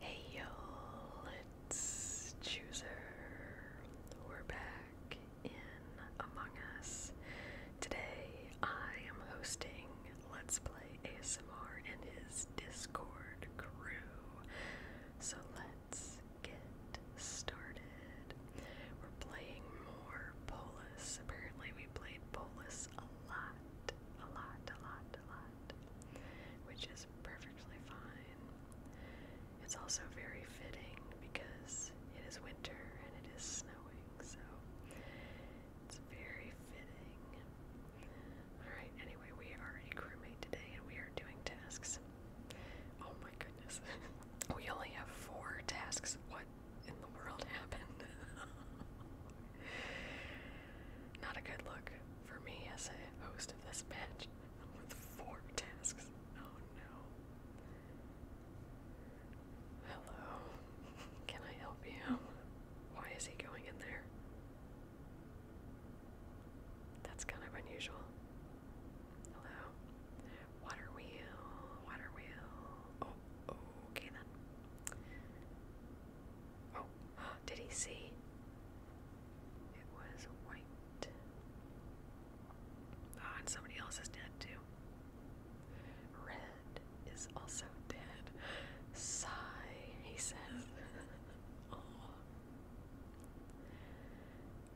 Hey yo, let's We're back in Among Us. Today I am hosting Let's Play ASMR and his Discord crew. So let's get started. We're playing more Polis. Apparently we played Polis a lot, a lot, a lot, a lot. Which is perfectly fine. It's also very fitting because it is winter and it is snowing, so it's very fitting. Alright, anyway, we are a crewmate today and we are doing tasks. Oh my goodness. we only have four tasks. What in the world happened? Not a good look for me as a host of this bitch with four tasks. Oh no. Hello. Can I help you? Why is he going in there? That's kind of unusual. Hello. Water wheel, water wheel. Oh, okay then. Oh, did he see? It was white. Oh, and somebody else is dead too. Red is also dead. Sigh, he says. oh.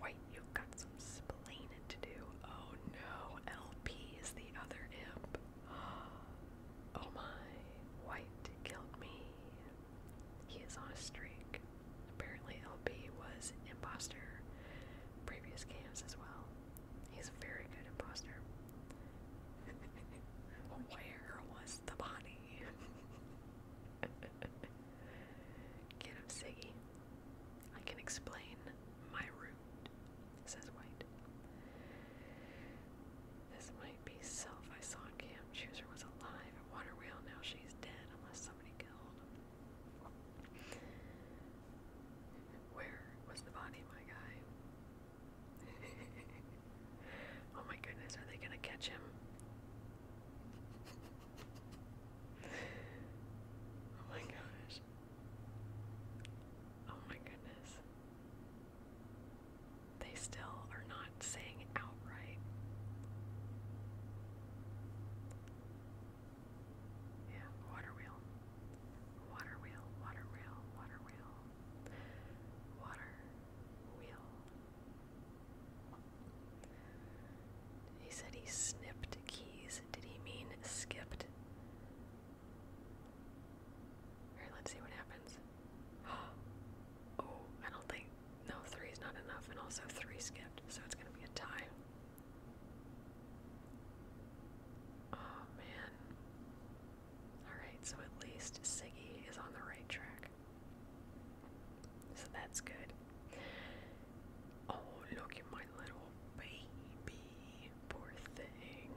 White, you've got some splaining to do. Oh no, LP is the other imp. Oh my, White killed me. He is on a streak. Apparently, LB was imposter previous games as well. He's a very good imposter. Where was the body? Get him, Siggy. I can explain my route, says White. This might be self I saw in camp. Chooser was alive at Water Wheel. Now she's dead unless somebody killed. Where was the body, my guy? oh my goodness, are they gonna catch him? oh my gosh. Oh my goodness. They still are not saying outright. Yeah, water wheel. Water wheel, water wheel, water wheel. Water wheel. He said he snipped keys. Did he mean skipped? Alright, let's see what happens. oh, I don't think. No, three is not enough, and also three skipped, so it's going to be a tie. Oh, man. Alright, so at least Siggy is on the right track. So that's good. Oh, look at my little baby. Poor thing.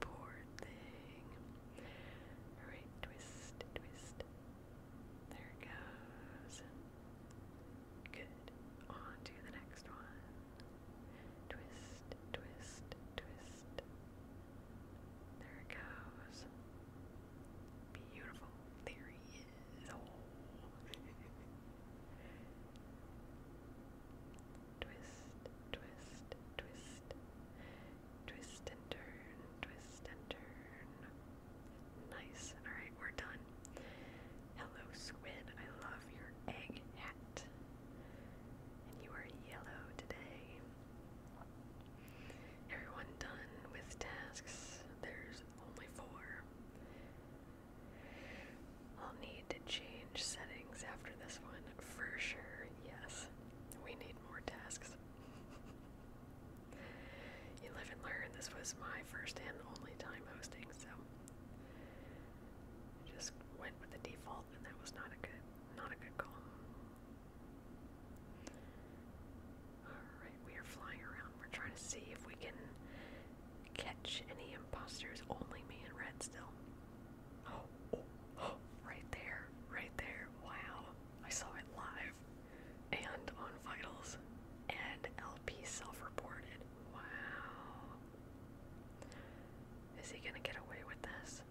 Poor thing. Alright, twist, twist, there it goes. Good. On to the next one. Twist, twist, twist. There it goes. Beautiful. There he is. Oh. twist, twist, twist. Twist and turn, twist and turn. Nice. Alright, we're done. Hello, squid. I love your egg hat. you are yellow today. Everyone done with tasks. There's only four. I'll need to change settings after this one for sure. Yes, we need more tasks. You live and learn. This was my first and only time hosting, so just went with the default, and that was not a good, not a good call. Alright, we are flying around. We're trying to see if we can catch any imposters. Only me and Red still. oh, oh right there, right there. Wow. I saw it live and on Vitals, and LP self reported. Wow. Is he gonna get away with this?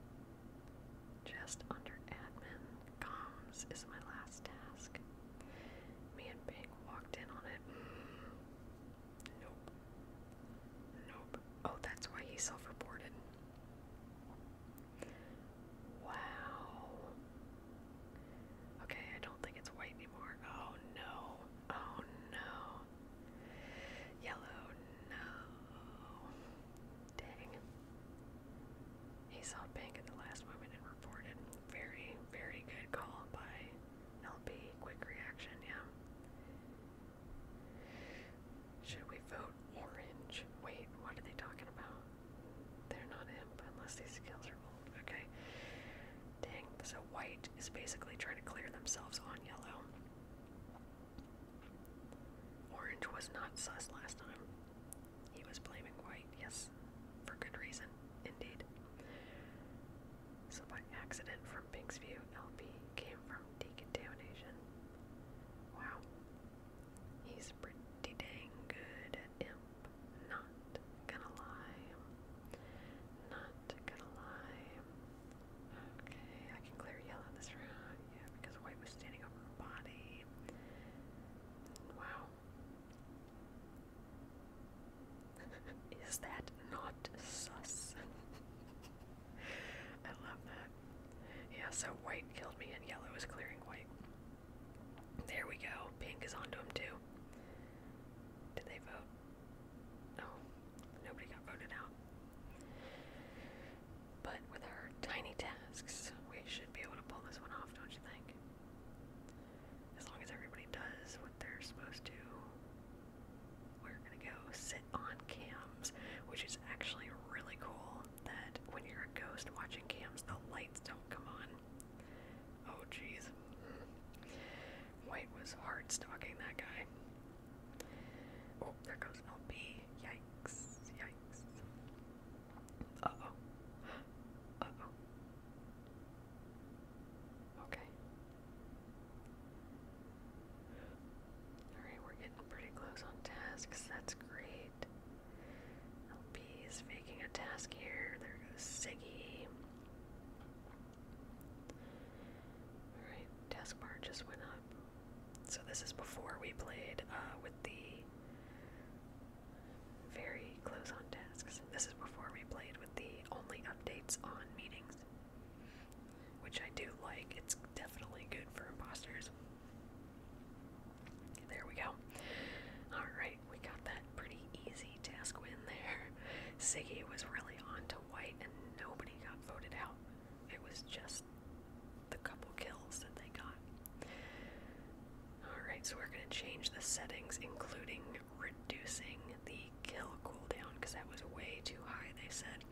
Just under admin, comms is my last task. Me and Pink walked in on it. Mm. Nope. Nope. Oh, that's why he self reported. Wow. Okay, I don't think it's white anymore. Oh no. Oh no. Yellow, no. Dang. He saw pink at the last moment and reported. Very, very good call by LB. Quick reaction, yeah. Should we vote orange? Wait, what are they talking about? They're not imp unless these skills are old. Okay. Dang, so white is basically trying to clear themselves on yellow. Orange was not sus last time. He was blaming white, yes, for good reason, indeed. So by accident from Pink's View, LP came from decontamination. Wow. He's pretty dang good at imp. Not gonna lie. Not gonna lie. Okay, I can clear yellow this round. Yeah, because white was standing over her body. Wow. Is that not sus? I love that. Yeah, so white killed me and yellow is clearing white. There we go. Pink is onto him too. Did they vote? No. Nobody got voted out. But with our tiny tasks, we should be able to pull this one off, don't you think? As long as everybody does what they're supposed to. We're gonna go sit on cams, which is actually really cool that when you're a ghost watching cams, the lights don't come on. Oh, jeez. White was hard stalking that guy. Oh, there goes LB. Yikes, yikes. Uh oh. Uh oh. Okay. Alright, we're getting pretty close on tasks. That's great right. LP is making a task here. There goes Siggy. Alright, task bar just went up. So this is before we played uh, with the very close on tasks. This is before we played with the only updates on meetings, which I do like. It's definitely good for imposters. There we go. Alright, we got that pretty easy task win there. Siggy was really on white and nobody got voted out. It was just the couple kills that they got. Alright, so we're going to change the settings, including reducing the kill cooldown, because that was way too high, they said.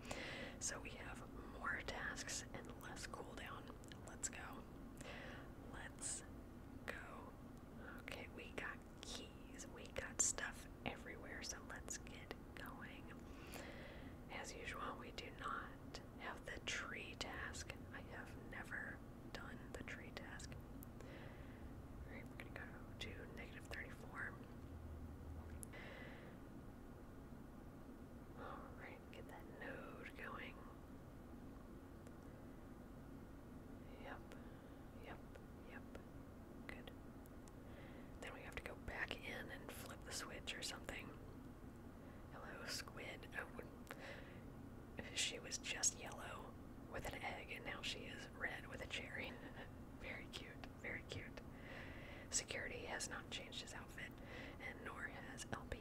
So we have more tasks and less cooldown. Let's go. Let's go. Okay, we got keys. We got stuff everywhere, so let's get going. As usual, we do not have the tree task. I have never done the tree task. we're gonna go to negative 34. Alright, Get that node going. Yep, yep, yep. Good. Then we have to go back in and flip the switch or something. Hello, squid. Oh, she was just yellow with an egg, and now she is red with a cherry. very cute, very cute. Security has not changed his outfit, and nor has LP.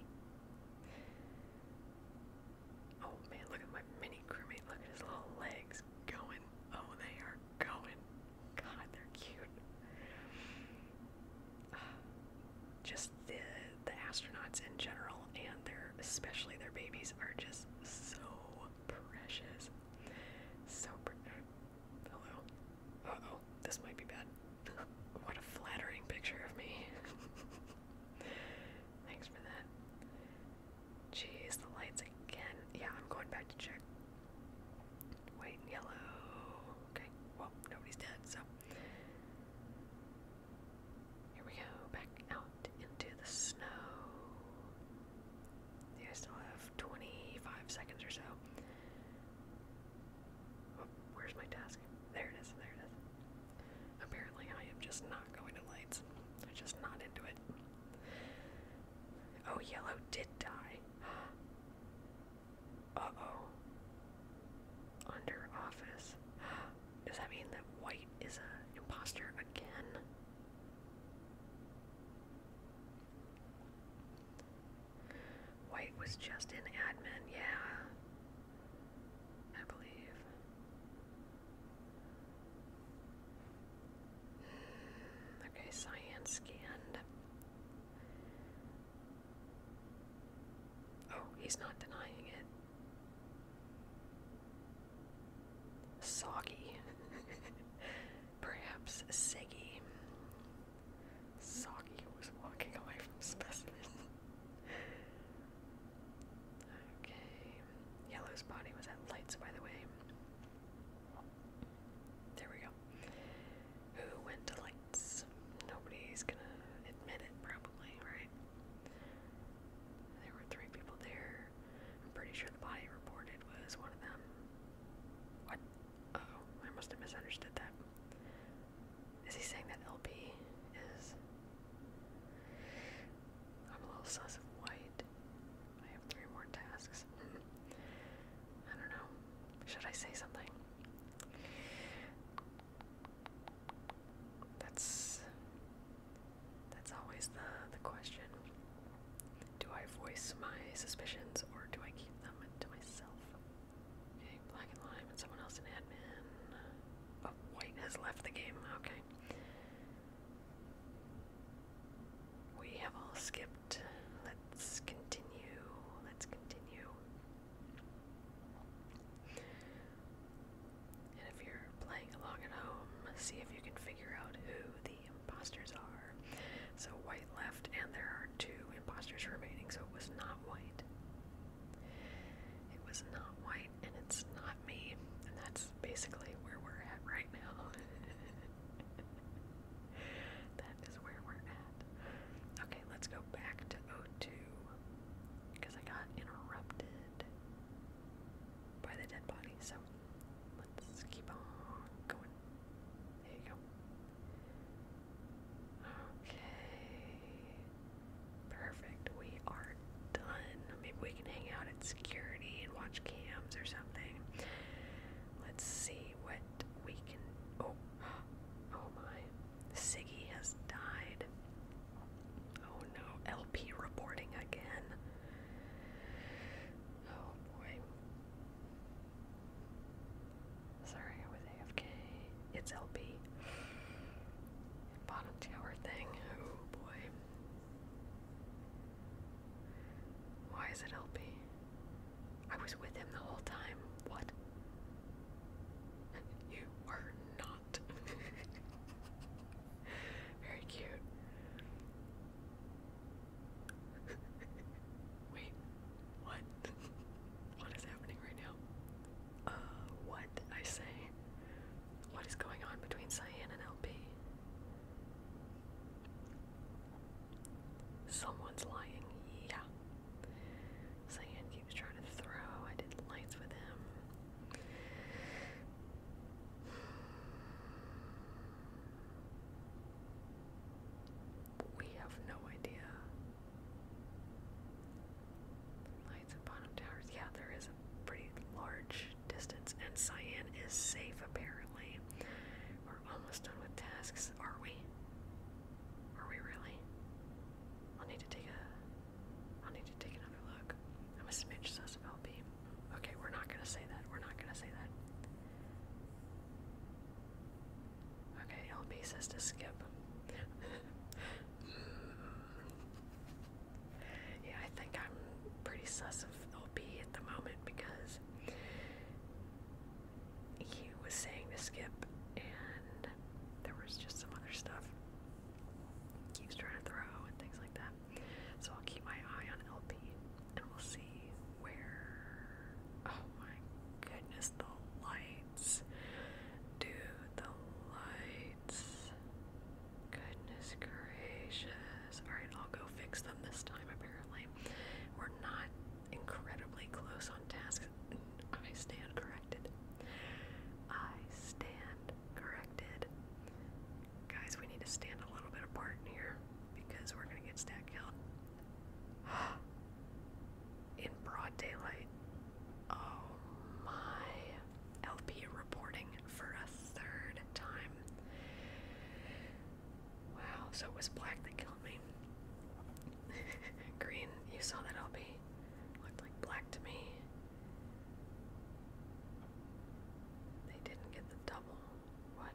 Oh man, look at my mini crewmate. Look at his little legs going. Oh, they are going. God, they're cute. just the the astronauts in general, and their especially their babies are just so precious. So pretty. hello. Uh oh, this might be bad what a flattering picture of me. Thanks for that. Jeez, the lights again. Yeah, I'm going back to check. White yellow. Okay, well, nobody's dead, so. Here we go, back out into the snow. Yeah, I still have 25 seconds or so. Where's my task? There it is, there it is. Apparently, I am just not going to lights. I'm just not into it. Oh, yellow did die. Uh oh. Under office. Does that mean that white is an imposter again? White was just in admin, yeah. I believe. Okay, science scanned. Oh, he's not denying it. Soggy. Perhaps Seggy. Soggy was walking away from specimen. Okay. Yellow's body was at lights, by the way. There we go. Who went to lights? Nobody's gonna admit it, probably, right? There were three people there. I'm pretty sure the body reported was one of them. What? oh, I must have misunderstood that. Is he saying that LB is. I'm a little sus of white. I have three more tasks. I don't know. Should I say something? That's. That's always the, the question. Do I voice my suspicions or do I keep them to myself? Okay, Black and Lime and someone else in admin. Oh, white has left the game. Okay. We have all skipped. Let's continue. Let's continue. And if you're playing along at home, see if you can figure out who the imposters are. So White left, and there are two imposters remaining, so it was not White. It was not white and it's not me. And that's basically where we're at right now. that is where we're at. Okay, let's go back to 0 because I got interrupted by the dead body. So let's keep on going. There you go. Okay. Perfect. We are done. Maybe we can hang out at security and watch cams or something. Let's see what we can. Oh, oh my. Siggy has died. Oh no. LP reporting again. Oh boy. Sorry, I was AFK. It's LB. Bottom tower thing. Oh boy. Why is it LB? I was with him the whole time. What? You are not. Very cute. Wait, what? what is happening right now? Uh, what? I say. What is going on between Cyan and LP? Someone's lying, yeah. Cyan keeps trying to throw. I did lights with him. We have no idea Lights at bottom towers. Yeah, there is a pretty large distance, and Cyan is safe apparently. We're almost done with tasks, are we? Are we really? I'll need to take a. I'll need to take another look. I'm a smidge sus of LB. Okay, we're not gonna say that. We're not gonna say that. Okay, LB says to skip. yeah, I think I'm pretty sus of LP at the moment because he was saying to skip, and there was just some other stuff he was trying to throw and things like that. So I'll keep my eye on LP, and we'll see where. Oh my goodness, the lights, dude, the lights. Goodness gracious. Alright, I'll go fix them this time, apparently. We're not incredibly close on tasks. I stand corrected. I stand corrected. Guys, we need to stand a little bit apart here because we're gonna get stack killed. In broad daylight. Oh my. LP reporting for a third time. Wow, so it was black that killed me. Green, you saw that LP. Looked like black to me. They didn't get the double. What?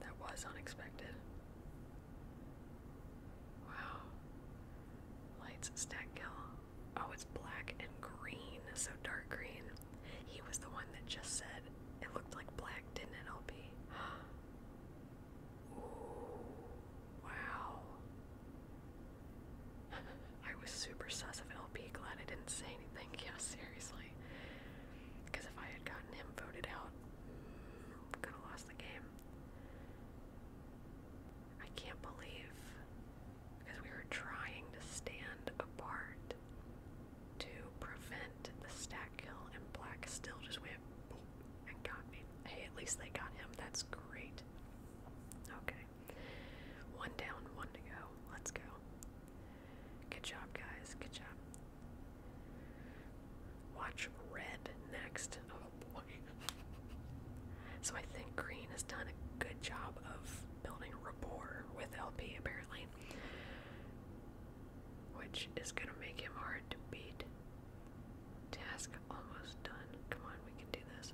That was unexpected. Wow. Lights stack kill. Oh, it's black and green, so dark green. He was the one that just said it looked like black, didn't it, LP? Ooh, wow. I was super sus of LP, glad I didn't say anything. Yeah, seriously. Because if I had gotten him voted out, mm, could have lost the game. I can't believe because we were trying to stand apart to prevent the stack kill, and Black still just went boop and got me. Hey, at least they got him. That's great. Okay. One down, one to go. Let's go. Good job, guys. Good job. Watch Red next so I think Green has done a good job of building rapport with LP apparently. Which is gonna make him hard to beat. Task almost done. Come on, we can do this.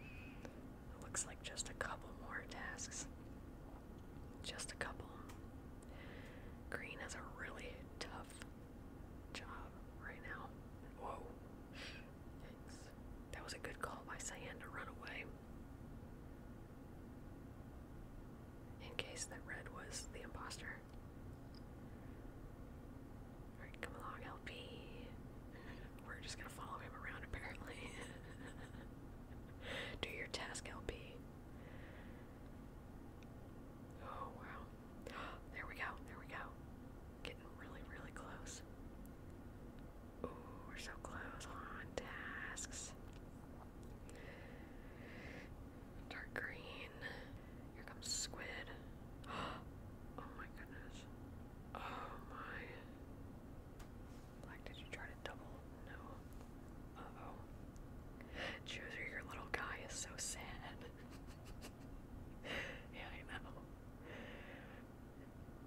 It looks like just a couple more tasks. Just a couple. Green has a really tough job right now. Whoa, that was a good call by Cyan to run away. In case that red was the imposter. Alright, come along, LP. We're just gonna follow him around, apparently. Do your task, LP. Oh, wow. There we go, there we go. Getting really, really close. Ooh, we're so close on tasks. Dark green. Here comes squid. Oh my goodness. Oh my. Black, did you try to double? No. Uh oh. Choose your little guy is so sad. yeah, I know.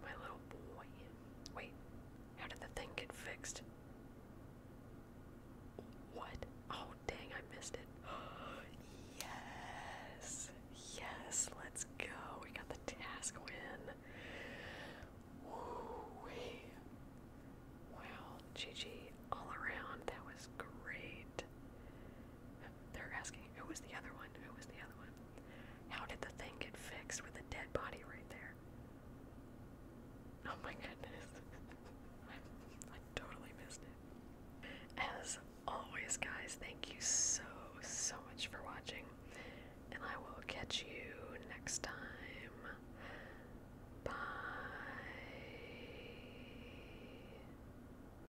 My little boy. Wait, how did the thing get fixed? What? Oh, dang, I missed it. yes! Yes, let's go. We got the task win. woo Wow, GG all around. That was great. They're asking, who was the other one? Who was the other one? How did the thing get fixed with a dead body right there? Oh my goodness. I totally missed it. As always, guys, thank you so, so much for watching. And I will catch you next time. Bye.